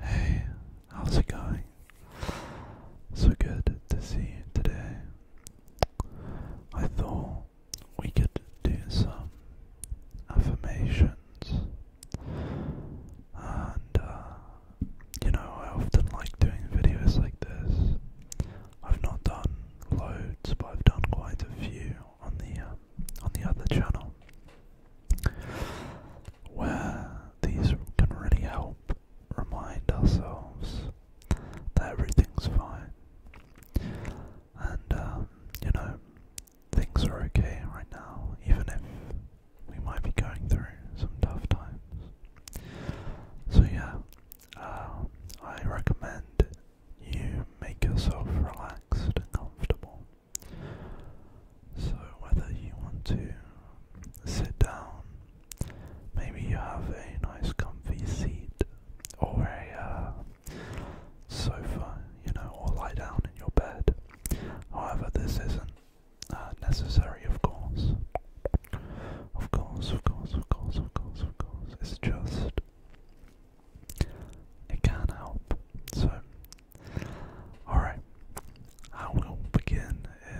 Hey, how's it going? So good to see you today. I thought we could do some affirmations, and uh, you know, I often like doing videos like this. I've not done loads, but I've done quite a few on the uh, on the other channel where these can really help remind ourselves that everything's fine and um, you know things are okay right now even if we might be going through some tough times so yeah um, I recommend you make yourself relaxed and comfortable so, whether you want to sit down, maybe you have a nice comfy seat or a uh, sofa, you know, or lie down in your bed. However, this isn't uh, necessary, of course. Of course, of course, of course, of course, of course. It's just it can help. So, alright, how will begin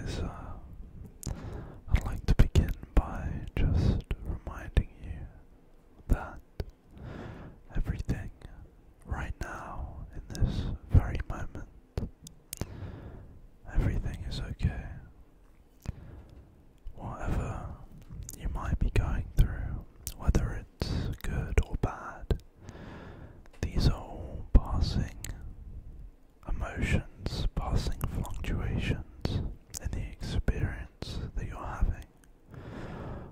is uh, I'd like to begin by just reminding you that everything right now, in this very moment, everything is okay. Whatever you might be going through, whether good or bad. These are all passing emotions, passing fluctuations in the experience that you're having,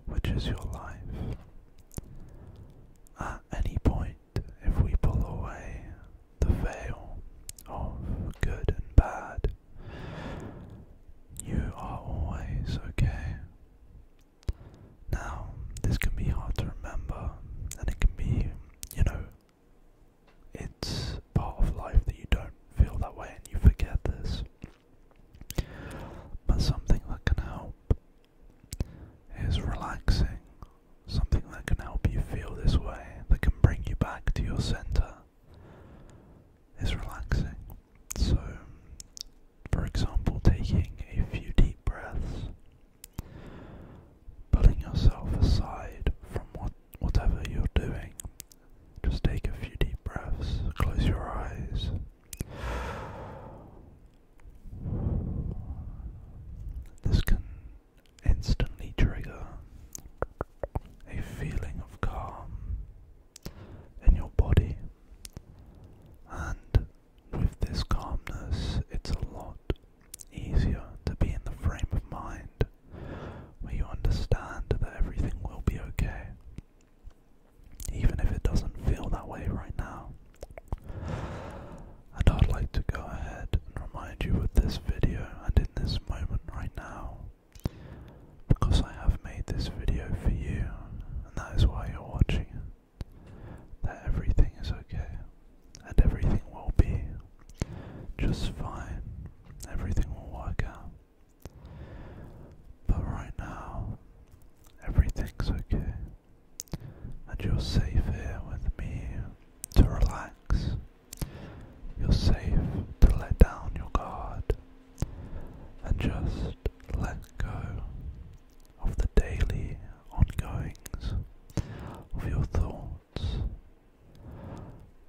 which is your life. At any point, if we pull away the veil of good and bad, you are always okay. Now, this can be hard to remember, and it can be, you know, it's part of life that you don't feel that way and you forget this. But something that can help is relaxing, something that can help you feel this way, that can bring you back to your center, is relaxing. So, for example, taking a few deep breaths, pulling yourself aside from what, whatever you're doing. Just take a few deep breaths, close your eyes. This can instantly trigger a feeling of calm in your body. And with this calmness, it's a lot easier to be in the frame of mind where you understand that everything will be okay, even if it doesn't feel that way right now. And I'd like to go ahead and remind you with this video and in this moment right now, because I have made this video for you and that is why you're watching That everything is okay, and everything will be just fine. Everything will work out. But right now, everything's okay, and you're safe here with me to relax. You're safe to let down your guard and just let go of the daily ongoings of your thoughts.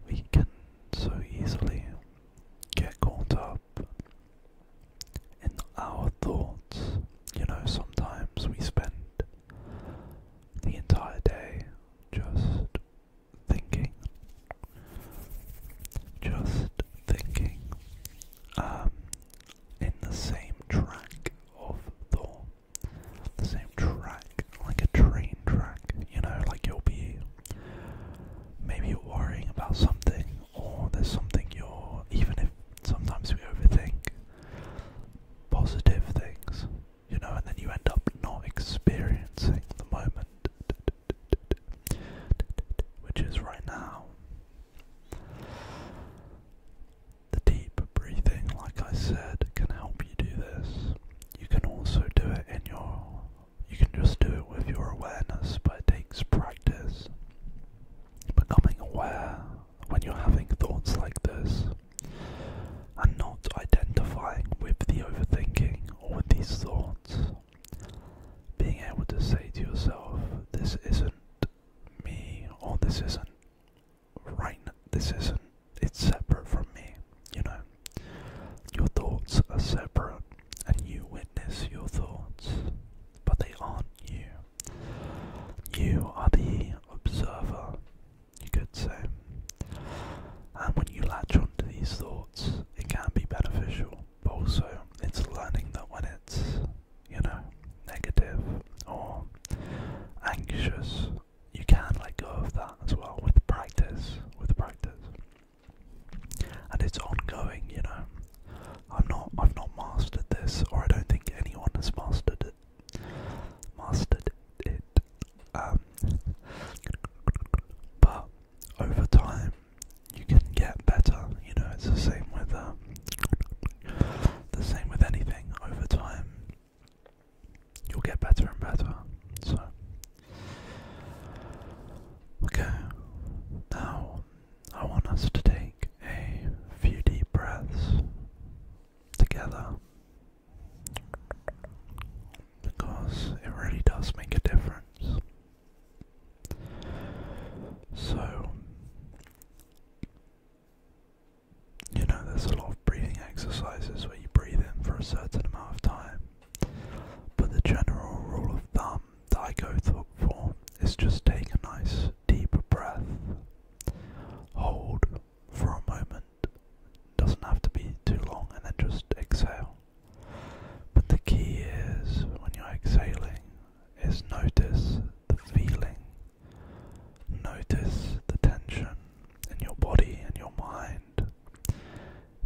We can so easily get caught up in our thoughts. You know, sometimes we spend the entire day just thinking, just thinking, um, in the same track of Thor. The same track, like a train track, you know, like you'll be maybe you're worrying about something, or there's something you're, even if sometimes we overthink positive things, you know, and then you end up not experiencing the moment, which is right now. The deep breathing, like I said, can help you do this. You can also do it in your you can just do it with your awareness, but it takes practice. Becoming aware when you're having thoughts like this and not identifying with the overthinking or with these thoughts being able to say to yourself, this isn't me, or this isn't right, this isn't, it's separate from me, you know. Your thoughts are separate, and you witness your thoughts, but they aren't you. You are the observer, you could say. And when you latch onto these thoughts, it can be beneficial, but also it's learning that when it's you know, negative or anxious, you can let go of that as well with practice. With practice. And it's ongoing, you know. I'm not I've not mastered this or I don't think anyone has mastered it. Mastered it. Um, but over time you can get better. You know, it's the same with um, the same with anything. Over time, you'll get better and better. So, okay. Now, I want us to take a few deep breaths together. Because it really does make a difference. So, you know, there's a lot of breathing exercises where you breathe in for a certain amount of time, but the general rule of thumb that I go for is just take a nice deep breath, hold for a moment, doesn't have to be too long, and then just exhale. But the key is when you're exhaling, is notice the feeling, notice the tension in your body and your mind.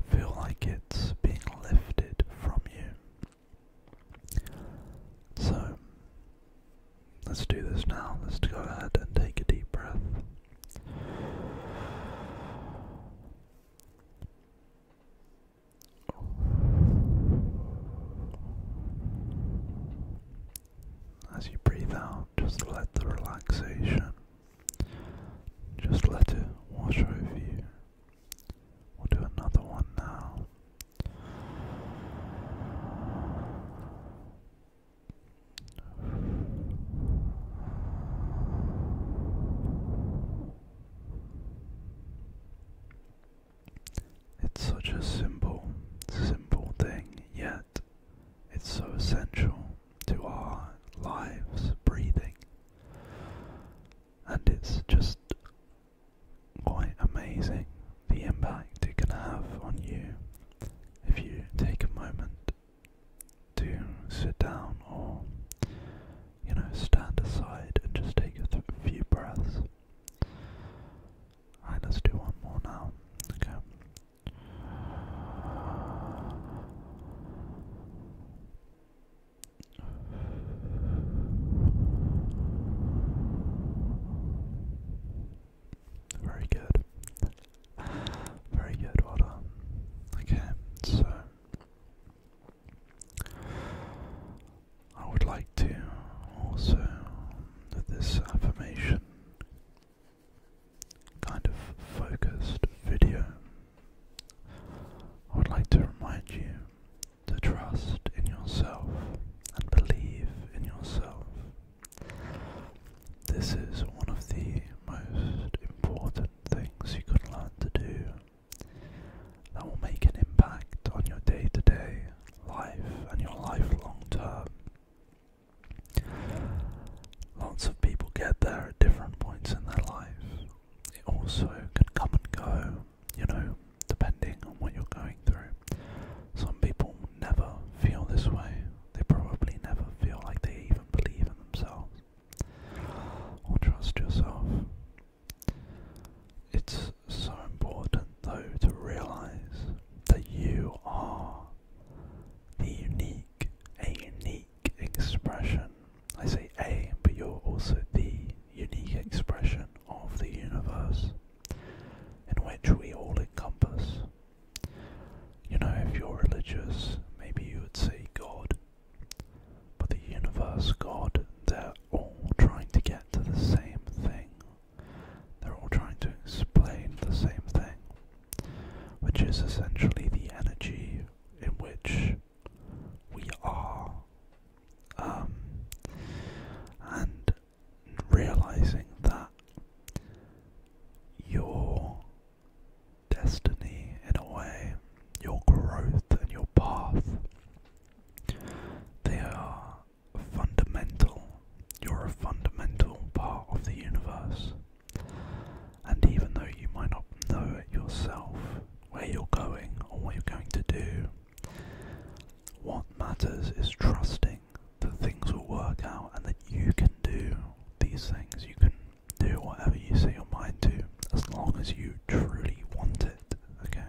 Feel like it's being lifted from you. So, let's do this now. Let's go ahead and take a deep breath. As you breathe out, just let the relaxation, just let it wash over you. We'll do another one now. It's such a simple, simple thing, yet it's so essential to our lives, breathing. And it's just quite amazing the impact it can have on you if you take a moment to sit down or, you know, stand aside and just take a few breaths let's do one more now. Okay. Very good. Very good, well done. Okay, so I would like to also that this affirmation kind of focused video. I would like to remind you to trust in yourself and believe in yourself. This is one of the most important things you can learn to do that will make an impact on your day to day life and your life long term. Lots of people get there at different points in their life. It also can come and go, you know, depending on what you're going through. Some people never feel this way, they probably never feel like they even believe in themselves or trust yourself. It's so important, though, to realize that you are the unique, a unique expression. I say a, but you're also the unique expression of the universe in which we all encompass. You know, if you're religious, maybe you would say God, but the universe, God, there all trying to get to the same thing. They're all trying to explain the same thing, which is essentially the energy in which we are. Um, and realizing that your destiny, in a way, your growth and your path, they are fundamental. You're a fundamental part of the universe. And even though you might not know yourself, where you're going or what you're going to do, what matters is trusting that things will work out and that you can do these things. You can do whatever you set your mind to as long as you truly want it. Okay?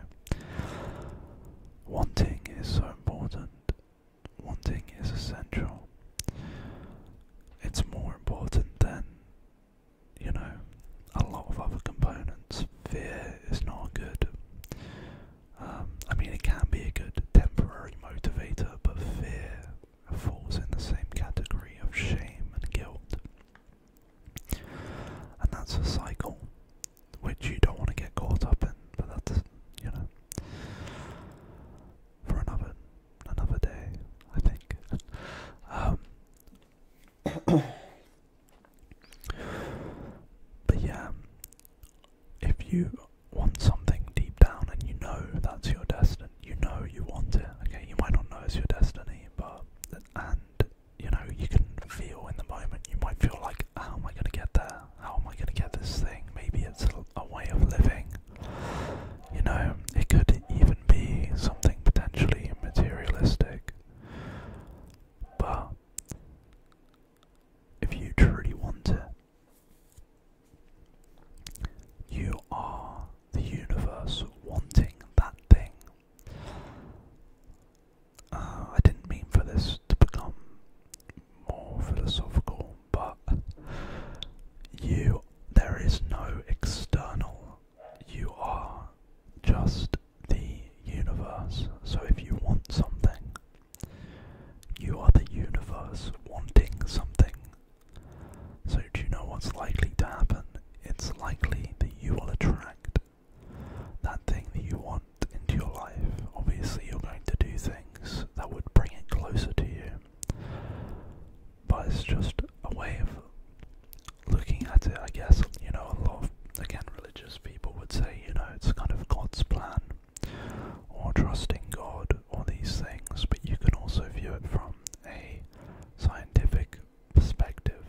Wanting is so important. Wanting is essential. It's more important than, you know, a lot of other components. Fear is not good. Um, I mean, it can be a good temporary motivator, but fear falls in the same category of shame and guilt. And that's a cycle which you don't want to get caught up in, but that's you know for another another day, I think. Um, but yeah, if you want something deep down and you know that's your destiny, you know you want it. Okay, you might not know it's your destiny, but and you know you can feel in the moment. You might feel like, how am I going to get there? How am I going to get this thing? Maybe it's a, way of living. You know, it could even be something potentially materialistic. But if you truly want it, you are the universe wanting that thing. Uh, I didn't mean for this to become more philosophical, but you, there is no external. You are just the universe. So if you want something, you are the universe wanting something. So do you know what's likely to happen? It's likely that you will attract that thing that you want into your life, obviously you're going to do things that would bring it closer to you. But it's just a way of looking at it, I guess. You know, a lot of, again, religious people would say, you know, it's kind of God's plan, or trusting God, or these things, but you can also view it from a scientific perspective.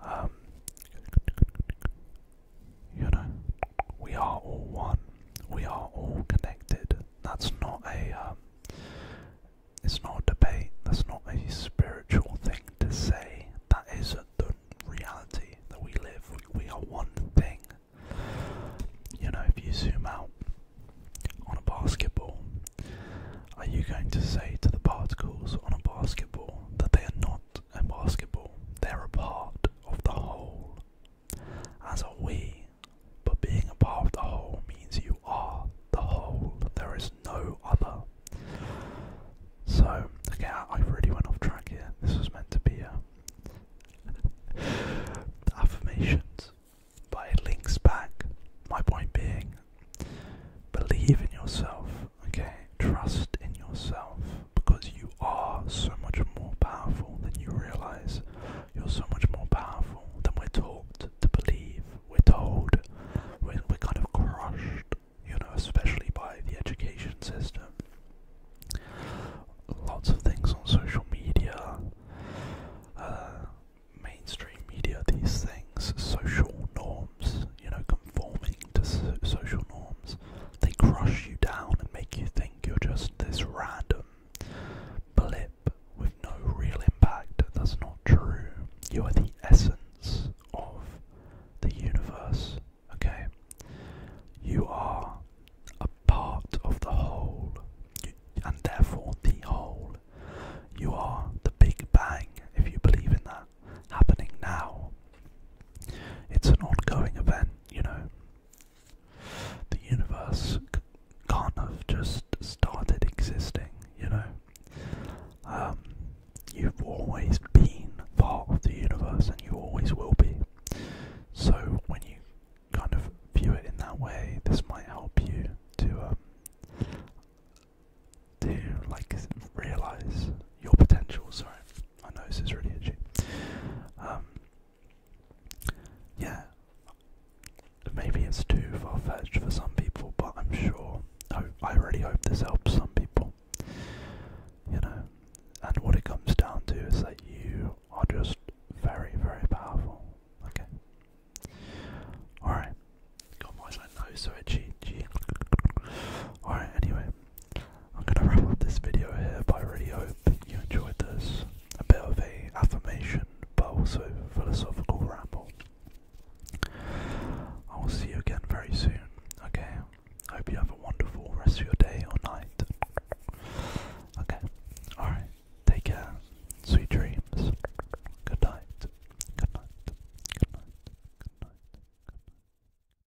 Um, you know, we are all one. We are all connected. That's not a. Um, it's not a debate. That's not a spiritual thing to say. That is the reality that we live. we are one thing. You know, if you zoom out on a basketball, are you going to say to the particles on a basketball that they are not and basketball, they're a part of the whole. As are we, but being a part of the whole means you are the whole. There is no other. So, okay, I really went off track here. This was meant to be uh, a affirmations, but it links back. My point being, believe in yourself okay? Trust in yourself because you are so much more powerful than you realize. You're so much more powerful than we're taught to believe. We're told. We're, we're kind of crushed, you know, especially by the education system. Lots of things on social media, uh, mainstream media, these things, social norms, you know, conforming to so social norms. They crush you down and make you think you're just this random blip with no real impact. That's not true. You are the essence of the universe, okay? You are a part of the whole, and therefore the whole. You are the Big Bang, if you believe in that happening now. It's an ongoing event, you know. The universe can't have just started existing, you know. Um, you've always been part of the universe and you always will be. So when you kind of view it in that way, this might help you to um, to like realize your potential. Sorry. My nose is really itchy. Um, yeah, maybe it's too far fetched for some people, but I'm sure. I, really hope this helps some people. You know, and what it comes down to is that you are just very, very powerful. Okay. Alright. God, why my nose so itchy? Alright, anyway. I'm gonna wrap up this video here, but I really hope you enjoyed this. A bit of a affirmation, but also philosophical ramble. I will see you again very soon. Okay. hope you have a wonderful rest of your day or night. Okay. All right. Take care. Sweet dreams. Good night. Good night. Good night. Good night. Good night.